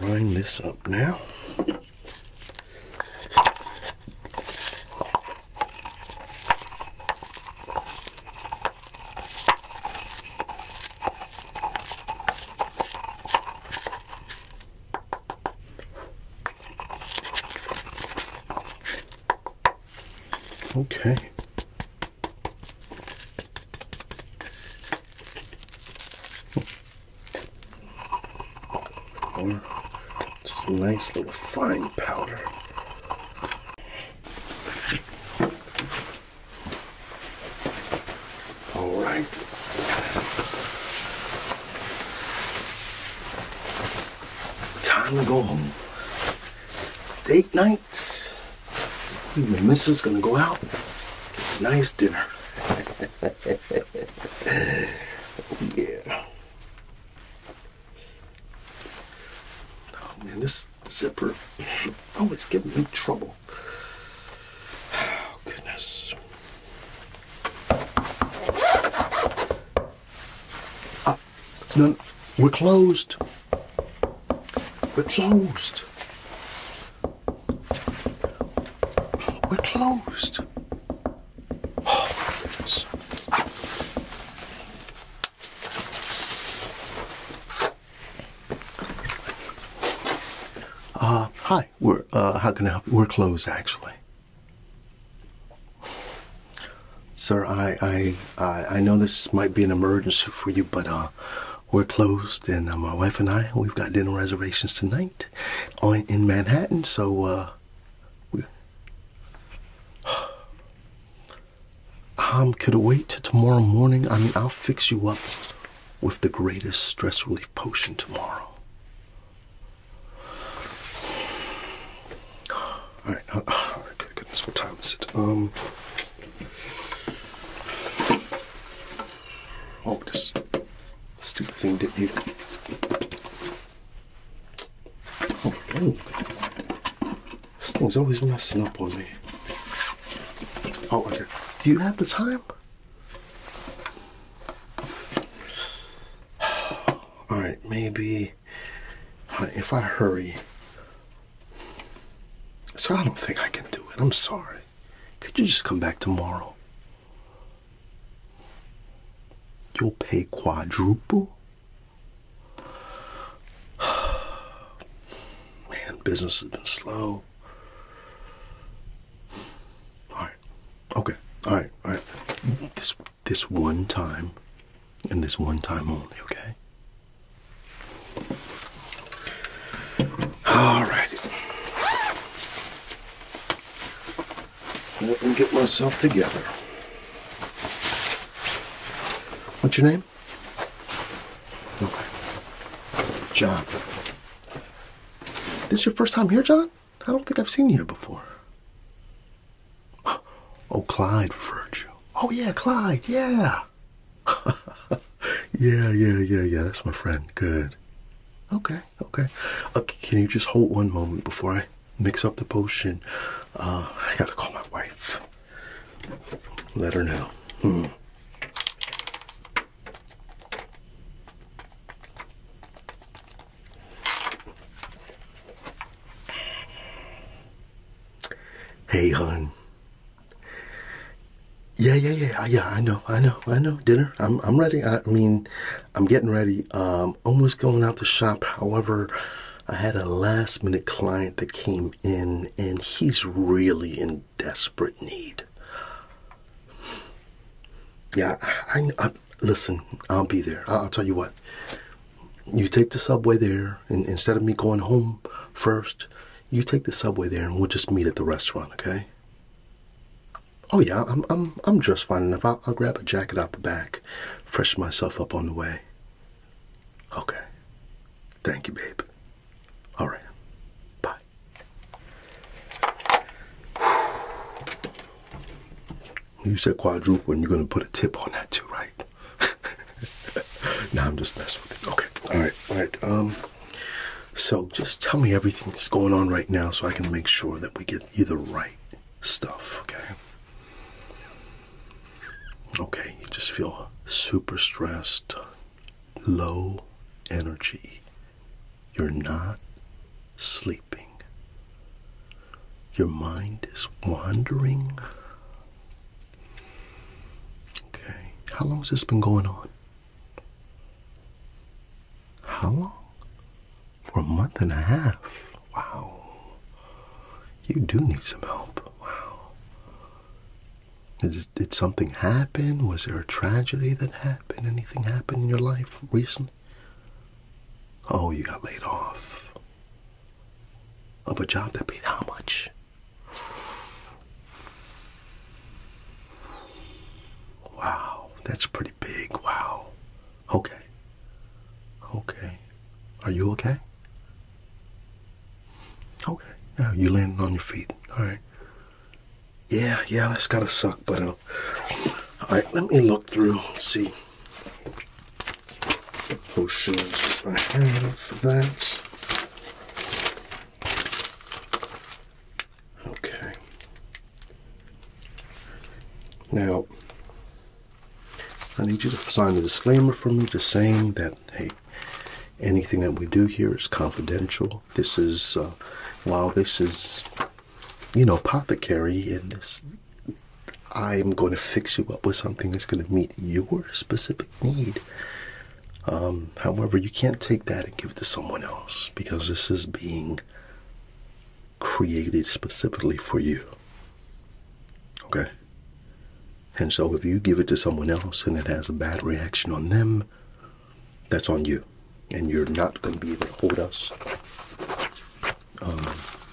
Line this up now. Okay. Or just a nice little fine powder. All right. Time to go home. Date night. The missus gonna go out. Nice dinner. yeah. Oh man, this zipper always giving me trouble. Oh goodness. Uh, no, we're closed. We're closed. We're closed. Oh, uh, hi. We're, uh, how can I help you? We're closed, actually. Sir, I, I, I know this might be an emergency for you, but, uh, we're closed, and uh, my wife and I we've got dinner reservations tonight on in Manhattan. So uh, we. Um, could it wait till tomorrow morning? I mean, I'll fix you up with the greatest stress relief potion tomorrow. All right, uh, all right, good goodness, what time is it? Um, oh, this Stupid thing did not you. This thing's always messing up on me. Oh, okay. Do you have the time? Alright, maybe uh, if I hurry. So I don't think I can do it. I'm sorry. Could you just come back tomorrow? You'll pay quadruple. Man, business has been slow. All right. Okay. All right. All right. This this one time and this one time only, okay? All righty. Let me get myself together. What's your name? Okay. John. This is your first time here, John? I don't think I've seen you here before. Oh, Clyde referred you. Oh, yeah, Clyde, yeah. yeah, yeah, yeah, yeah. That's my friend. Good. Okay okay. Uh, can you just hold one moment before I mix up the potion? Uh, I gotta call my wife. Let her know. Hmm. Hey, hon. Yeah, yeah, yeah, yeah. I know, I know, I know. Dinner. I'm, I'm ready. I mean, I'm getting ready. Um, almost going out to shop. However, I had a last minute client that came in, and he's really in desperate need. Yeah, I, listen. I'll be there. I'll, I'll tell you what. You take the subway there, and instead of me going home first, you take the subway there, and we'll just meet at the restaurant. Okay. Oh yeah, I'm I'm I'm just fine enough. I'll, I'll grab a jacket out the back, freshen myself up on the way. Okay. Thank you, babe. All right. Bye. You said quadruple, and you're gonna put a tip on that too, right? now I'm just messing with it. Okay. All right. All right. Um. So just tell me everything that's going on right now so I can make sure that we get you the right stuff, okay? Okay, you just feel super stressed, low energy. You're not sleeping. Your mind is wandering. Okay, how long has this been going on? How long? For a month and a half. Wow. You do need some help. Wow. did something happen? Was there a tragedy that happened? Anything happened in your life recently? Oh, you got laid off. Of a job that paid how much? Wow, that's pretty big. Wow. Okay. Okay. Are you okay? Okay. Now you landed on your feet. All right. Yeah, yeah, that's gotta suck, but uh, all right, let me look through and see potions I have for that. Okay. Now, I need you to sign a disclaimer for me just saying that, hey, anything that we do here is confidential. This is, uh, while this is, you know, apothecary and this, I'm going to fix you up with something that's going to meet your specific need. Um, however, you can't take that and give it to someone else because this is being created specifically for you. Okay? And so if you give it to someone else and it has a bad reaction on them, that's on you. And you're not going to be able to hold us um,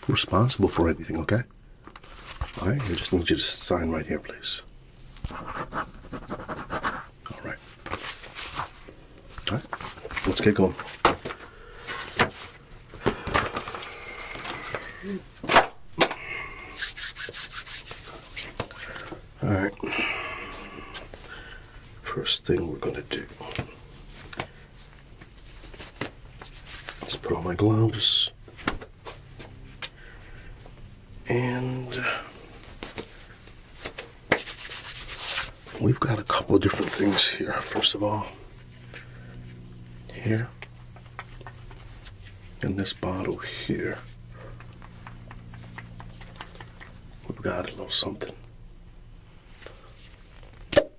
responsible for anything, okay? All right, I just need you to sign right here, please. All right. All right. Let's get going. All right. First thing we're going to do Let's put on my gloves and We've got a couple of different things here. First of all, here, in this bottle here, we've got a little something.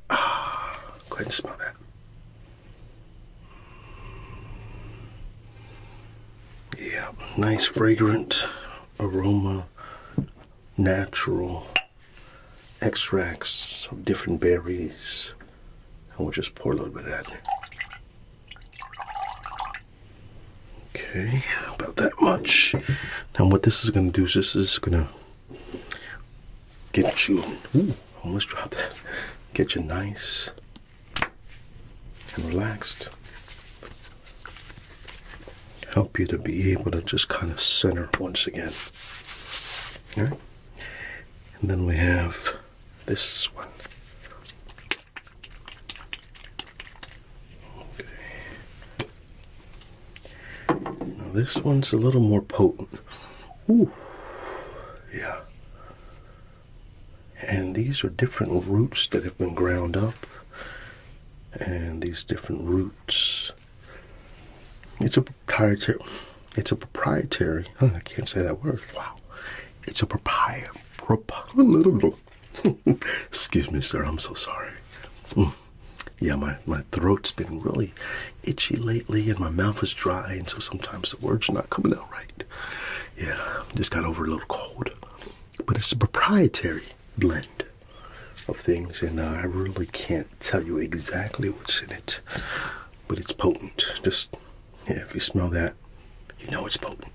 Ah, go ahead and smell that. Yeah, nice fragrant aroma natural extracts of different berries. And we'll just pour a little bit of that. Okay, about that much. Now what this is gonna do is this is gonna get you ooh, almost dropped that. Get you nice and relaxed help you to be able to just kind of center once again. All right. And then we have this one. Okay. Now this one's a little more potent. Ooh. Yeah. And these are different roots that have been ground up and these different roots. It's a proprietary. It's a proprietary. I can't say that word. Wow. It's a proprietary. Prop Excuse me, sir. I'm so sorry. Mm. Yeah, my, my throat's been really itchy lately, and my mouth is dry, and so sometimes the words are not coming out right. Yeah, just got over a little cold. But it's a proprietary blend of things, and uh, I really can't tell you exactly what's in it, but it's potent. Just yeah, if you smell that, you know it's potent.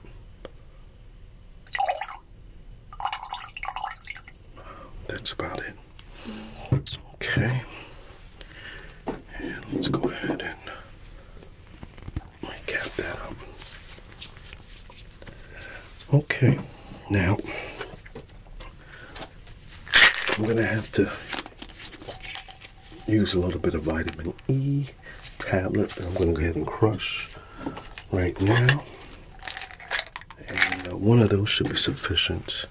That's about it. Okay. And let's go ahead and recap that up. Okay, now I'm going to have to use a little bit of vitamin E tablet that I'm going to go ahead and crush right now. And uh, one of those should be sufficient.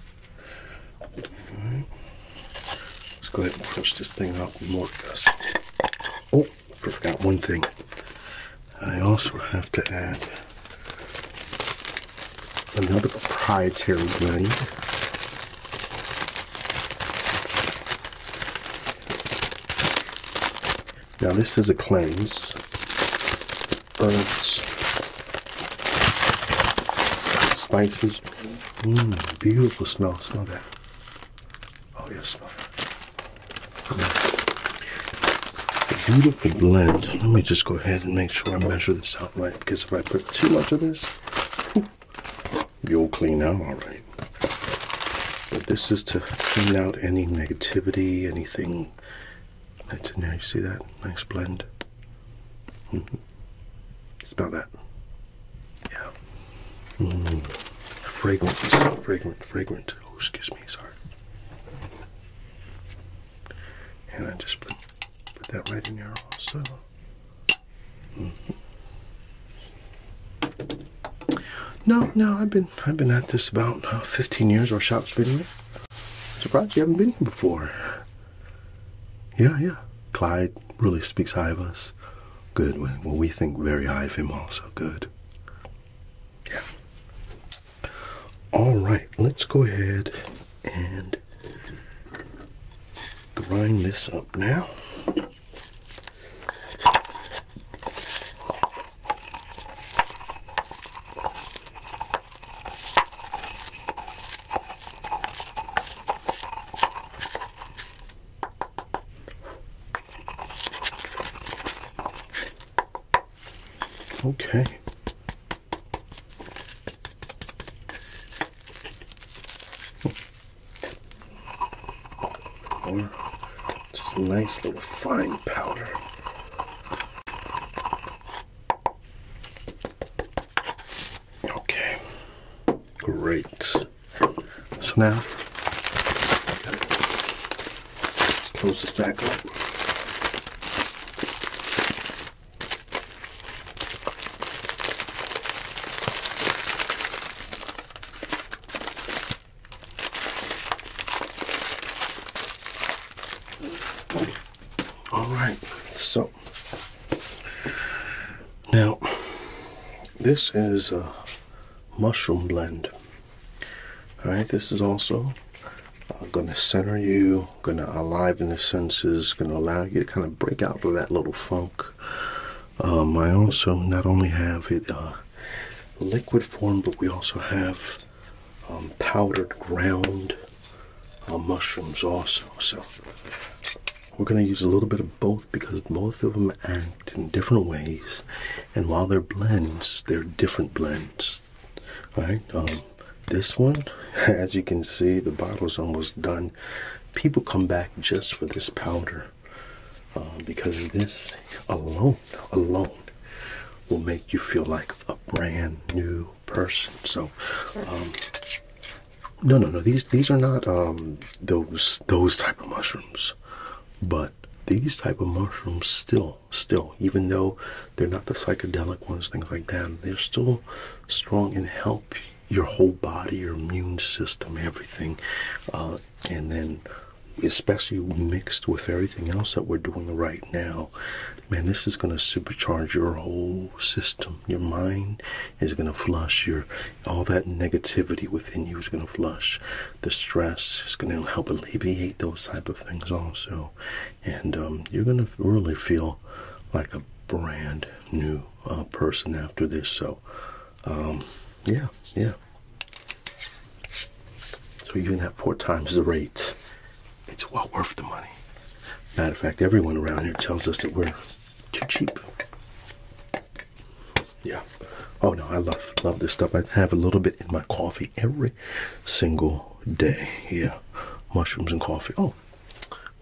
Let's go ahead and crush this thing up more. Oh, forgot one thing. I also have to add another proprietary blend. Now this is a cleanse. Herbs, spices. Mmm, beautiful smell. Smell that. Oh yes, smell Beautiful blend. Let me just go ahead and make sure I measure this out right because if I put too much of this, you'll clean out all right. But this is to clean out any negativity, anything that's in there. You see that? Nice blend. It's mm-hmm. about that. Yeah. Mm. Fragrant, fragrant, fragrant. Oh, excuse me, sorry. And I just put put that right in there also. Mm-hmm. No, no, I've been I've been at this about uh, 15 years. or shop's been Surprised you haven't been here before. Yeah, yeah. Clyde really speaks high of us. Good. Well, we think very high of him also. Good. Yeah. All right, let's go ahead and grind this up now. Okay. just nice little fine powder. Okay. Great. So now Let's close this back up. All right, so now this is a mushroom blend. All right, this is also uh, going to center you, going to aliven the senses, going to allow you to kind of break out of that little funk. Um, I also not only have it uh, liquid form, but we also have um, powdered ground uh, mushrooms also. So we're going to use a little bit of both because both of them act in different ways, and while they're blends, they're different blends. Alright, um, this one as you can see the bottle is almost done people come back just for this powder um, because this alone alone will make you feel like a brand new person so um, no no no these these are not those those type of mushrooms but these type of mushrooms still still, even though they're not the psychedelic ones, things like that, they're still strong and help your whole body, your immune system, everything. Uh, and then, especially mixed with everything else that we're doing right now, man, this is going to supercharge your whole system. Your mind is going to flush. Your all that negativity within you is going to flush. The stress is going to help alleviate those type of things also and um, you're gonna really feel like a brand new uh, person after this. So, um, yeah, yeah. So you even have four times the rates, it's well worth the money. Matter of fact, everyone around here tells us that we're too cheap. Yeah. Oh no, I love love this stuff. I have a little bit in my coffee every single day. Yeah, mushrooms and coffee. Oh,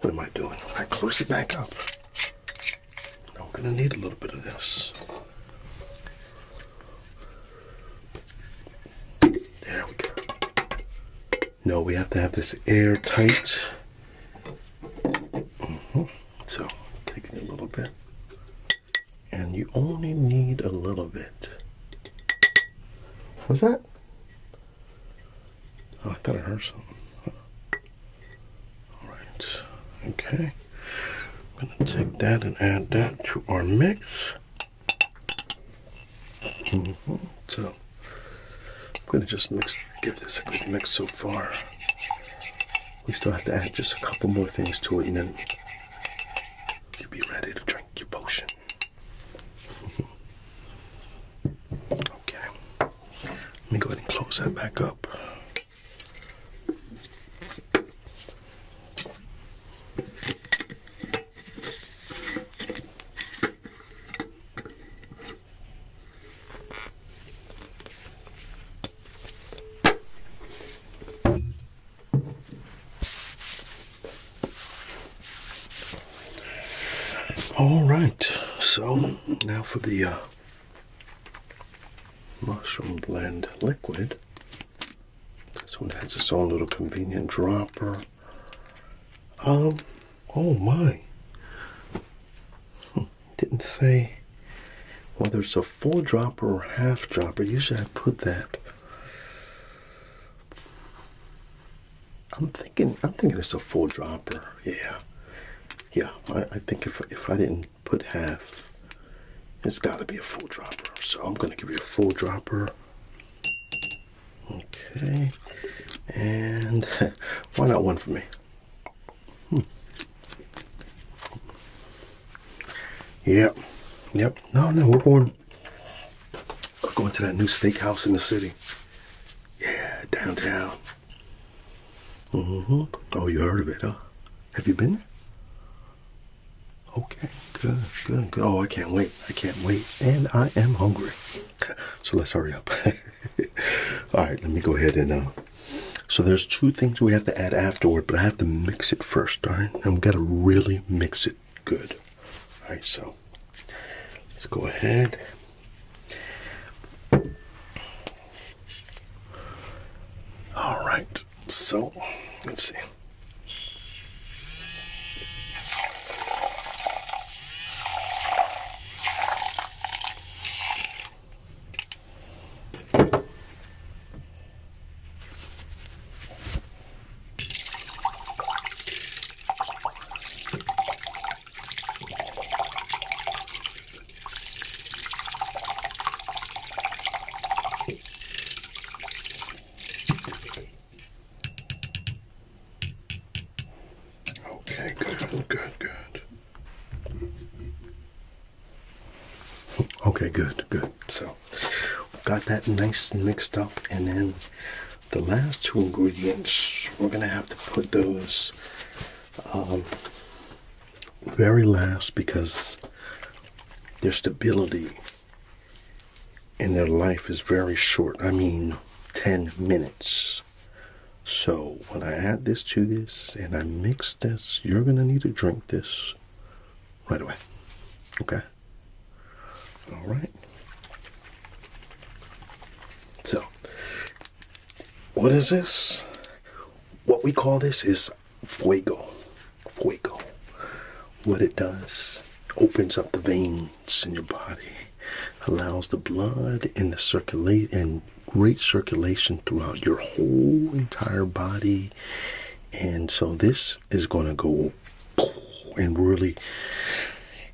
what am I doing? I close it back up. Now I'm gonna need a little bit of this. There we go. No, we have to have this airtight. Mm-hmm. So, taking a little bit and you only need a little bit. Was that? Oh, I thought I heard something. All right. Okay. I'm going to take that and add that to our mix. Mm-hmm. So I'm going to just mix, give this a good mix so far. We still have to add just a couple more things to it and then you'll be ready to drink your potion. okay. Let me go ahead and close that back up. All right, so now for the uh, mushroom blend liquid. This one has its own little convenient dropper. Um, oh my. Hmm, didn't say whether it's a full dropper or half dropper. Usually I put that I'm thinking I'm thinking it's a full dropper. Yeah. Yeah, I, think if if I didn't put half, it's gotta be a full dropper. So I'm gonna give you a full dropper. Okay. And why not one for me? Hmm. Yep. Yep. No, no, we're born of going to that new steakhouse in the city. Yeah, downtown. Mm-hmm. Oh, you heard of it, huh? Have you been there? Okay, good, good, good. Oh, I can't wait. I can't wait. And I am hungry. so let's hurry up. All right, let me go ahead and. Uh, so there's two things we have to add afterward, but I have to mix it first, all right? And we got to really mix it good. Alright, so let's go ahead all right, so let's see. Okay, good, good, good. Okay, good, good. So Got that nice mixed up, and then the last two ingredients we're gonna have to put those um, very last because their stability and their life is very short. I mean, 10 minutes. So when I add this to this and I mix this, you're gonna need to drink this right away. Okay. All right. So, what is this? What we call this is fuego. Fuego. What it does opens up the veins in your body, allows the blood and the circulate and great circulation throughout your whole entire body. And so this is going to go and really,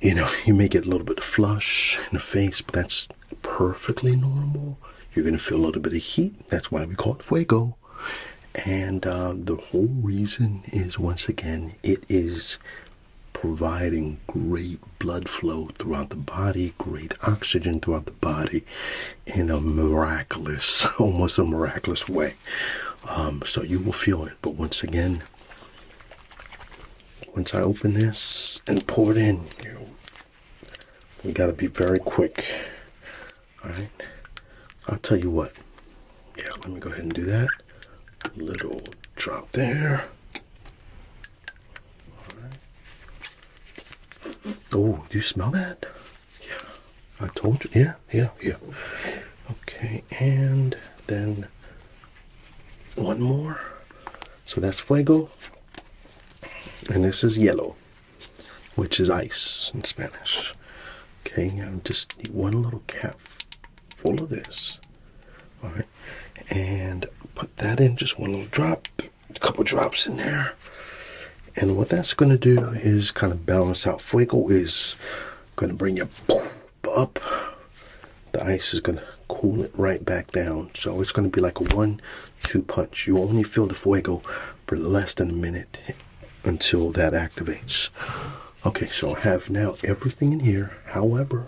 you know, you may get a little bit of flush in the face, but that's perfectly normal. You're going to feel a little bit of heat. That's why we call it fuego. And uh, the whole reason is once again, it is providing great blood flow throughout the body, great oxygen throughout the body in a miraculous, almost a miraculous way. Um, so you will feel it but once again once i open this and pour it in you we got to be very quick all right i'll tell you what yeah let me go ahead and do that little drop there oh do you smell that yeah, I told you. Yeah, yeah, yeah. Okay, and then one more. So that's fuego. And this is yellow, which is ice in Spanish. Okay, I'm just need one little cap full of this. All right, and put that in just one little drop, a couple drops in there. And what that's going to do is kind of balance out. Fuego is going to bring you up. The ice is going to cool it right back down. So it's going to be like a one two punch. You only feel the fuego for less than a minute until that activates. Okay, so I have now everything in here. However,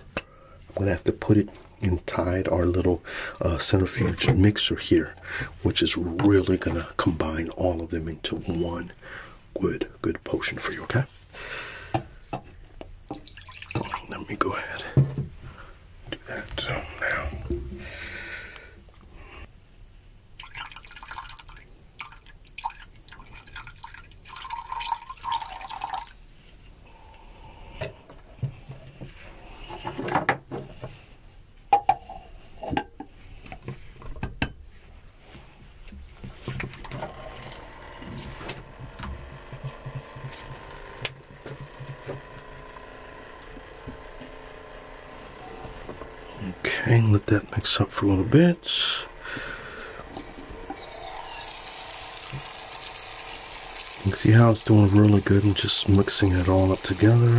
I'm going to have to put it inside our little uh, centrifuge mixer here, which is really going to combine all of them into one good, good potion for you, okay? Let me go ahead do that now. Okay, let that mix up for a little bit. You can see how it's doing really good and just mixing it all up together.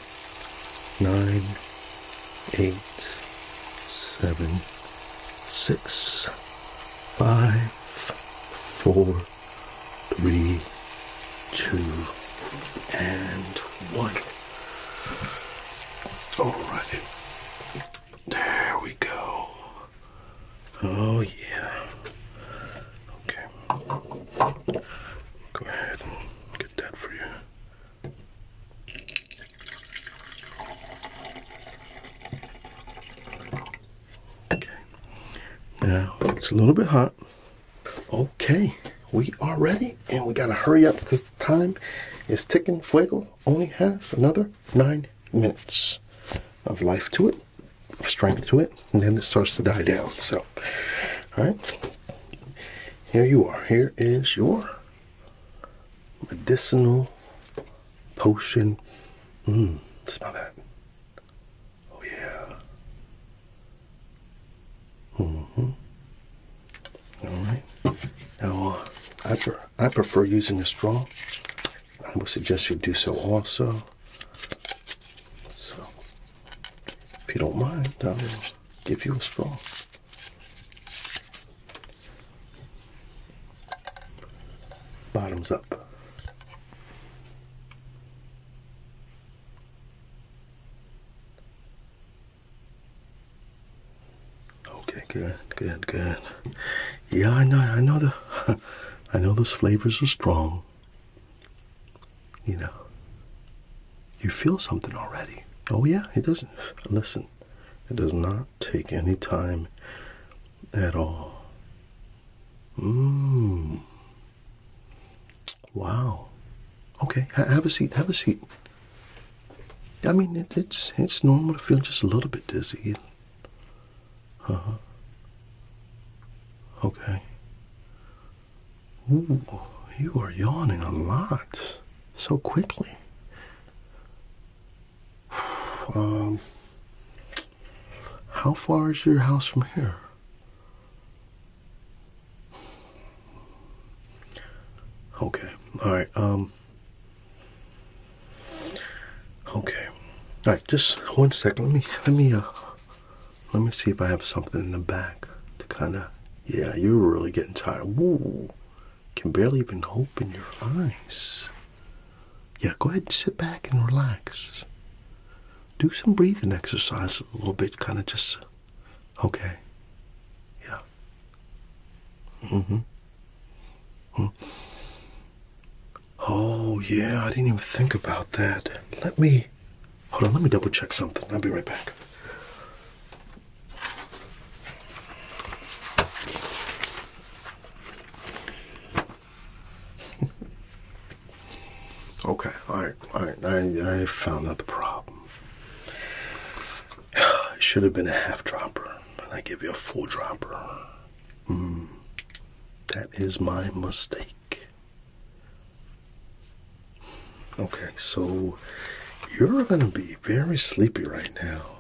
nine, eight, seven, six, five, four, three, two, and one. All right. There we go. Oh, yeah. Okay. Go ahead get that for you. Okay, now it's a little bit hot. Okay, we are ready and we gotta hurry up because the time is ticking. Fuego only has another nine minutes of life to it, strength to it, and then it starts to die down. So, all right here you are. Here is your medicinal potion. Mmm, smell that. Oh, yeah. hmm. Alright. Now, uh, I, pre I prefer using a straw. I would suggest you do so also. So, if you don't mind, I give you a straw. Bottoms up. Okay, good, good, good. Yeah, I know, I know the, I know those flavors are strong you know, you feel something already. Oh, yeah, it doesn't. Listen, it does not take any time at all. Mmm. Wow. Okay, have a seat. Have a seat. I mean, it's it's normal to feel just a little bit dizzy. Uh huh. Okay. Ooh, you are yawning a lot so quickly. um, how far is your house from here? Okay. All right. Um. Okay. All right. Just one second. Let me. Let me. Uh. Let me see if I have something in the back to kind of yeah, you are really getting tired. Can barely even open your eyes. Yeah, go ahead and sit back and relax. Do some breathing exercise a little bit, kind of just. Okay. Yeah. hmm. Oh, yeah, I didn't even think about that. Let me Hold on, let me double check something. I'll be right back. okay, all right, all right. I, found out the problem. It should have been a half dropper, and I give you a full dropper. Hmm, that is my mistake. Okay, so you're gonna be very sleepy right now.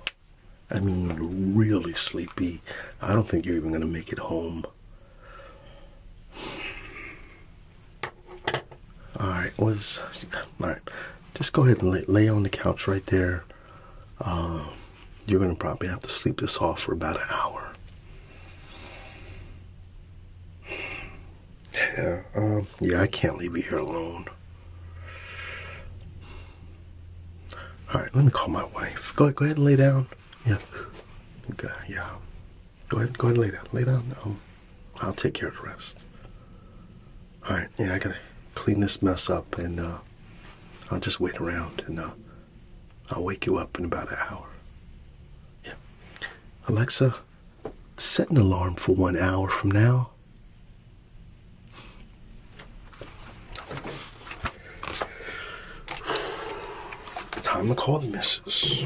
I mean, really sleepy. I don't think you're even gonna make it home. All right, was all right. Just go ahead and lay, on the couch right there. Um, you're gonna probably have to sleep this off for about an hour. Yeah, um, yeah, I can't leave you here alone. All right, let me call my wife. Go ahead, go ahead and lay down. Yeah, okay, yeah. Go ahead, go ahead and lay down. Lay down. Um, I'll take care of the rest. All right, yeah, I gotta clean this mess up, and uh, I'll just wait around, and uh, I'll wake you up in about an hour. Yeah, Alexa, set an alarm for one hour from now. Time to call the missus.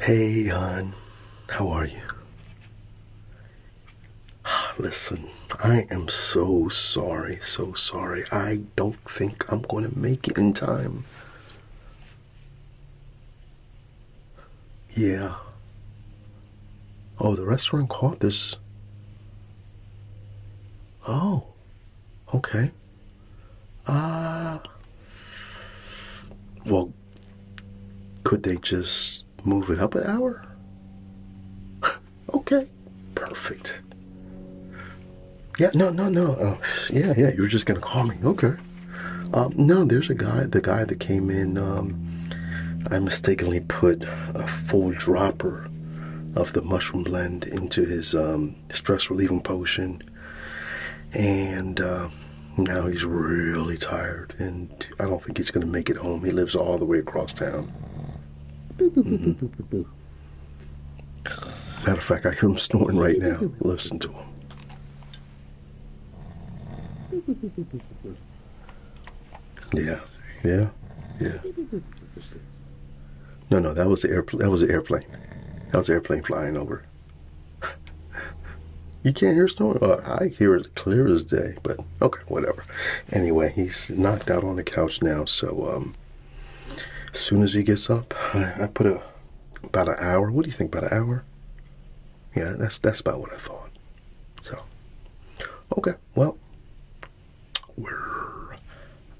Hey, hon, how are you? Listen, I am so sorry, so sorry. I don't think I'm going to make it in time. Yeah. Oh, the restaurant caught this. Oh, okay. Ah. Uh, well, could they just move it up an hour? okay, perfect. Yeah, no, no, no. Uh, yeah, yeah, you are just gonna call me. Okay. Um, no, there's a guy, the guy that came in. Um, I mistakenly put a full dropper of the mushroom blend into his um, stress relieving potion, and uh, now he's really tired and I don't think he's going to make it home. He lives all the way across town. Matter of fact, I hear him snoring right now. Listen to him. Yeah, yeah, yeah. No, no, that was the airplane. That was the airplane. That was airplane flying over. you can't hear snoring. I hear it clear as day, but okay, whatever. Anyway, he's knocked out on the couch now, so um, as soon as he gets up, I, put a about an hour. What do you think? About an hour? Yeah, that's that's about what I thought. So, okay, well,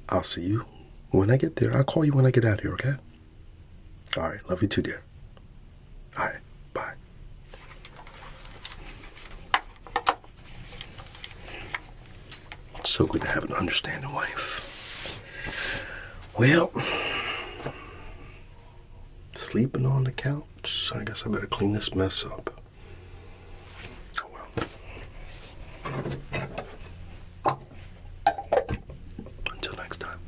I'll see you when I get there. I'll call you when I get out here. Okay. All right. Love you too, dear. All right, bye. It's so good to have an understanding wife. Well, sleeping on the couch. I guess I better clean this mess up. Oh, Until next time.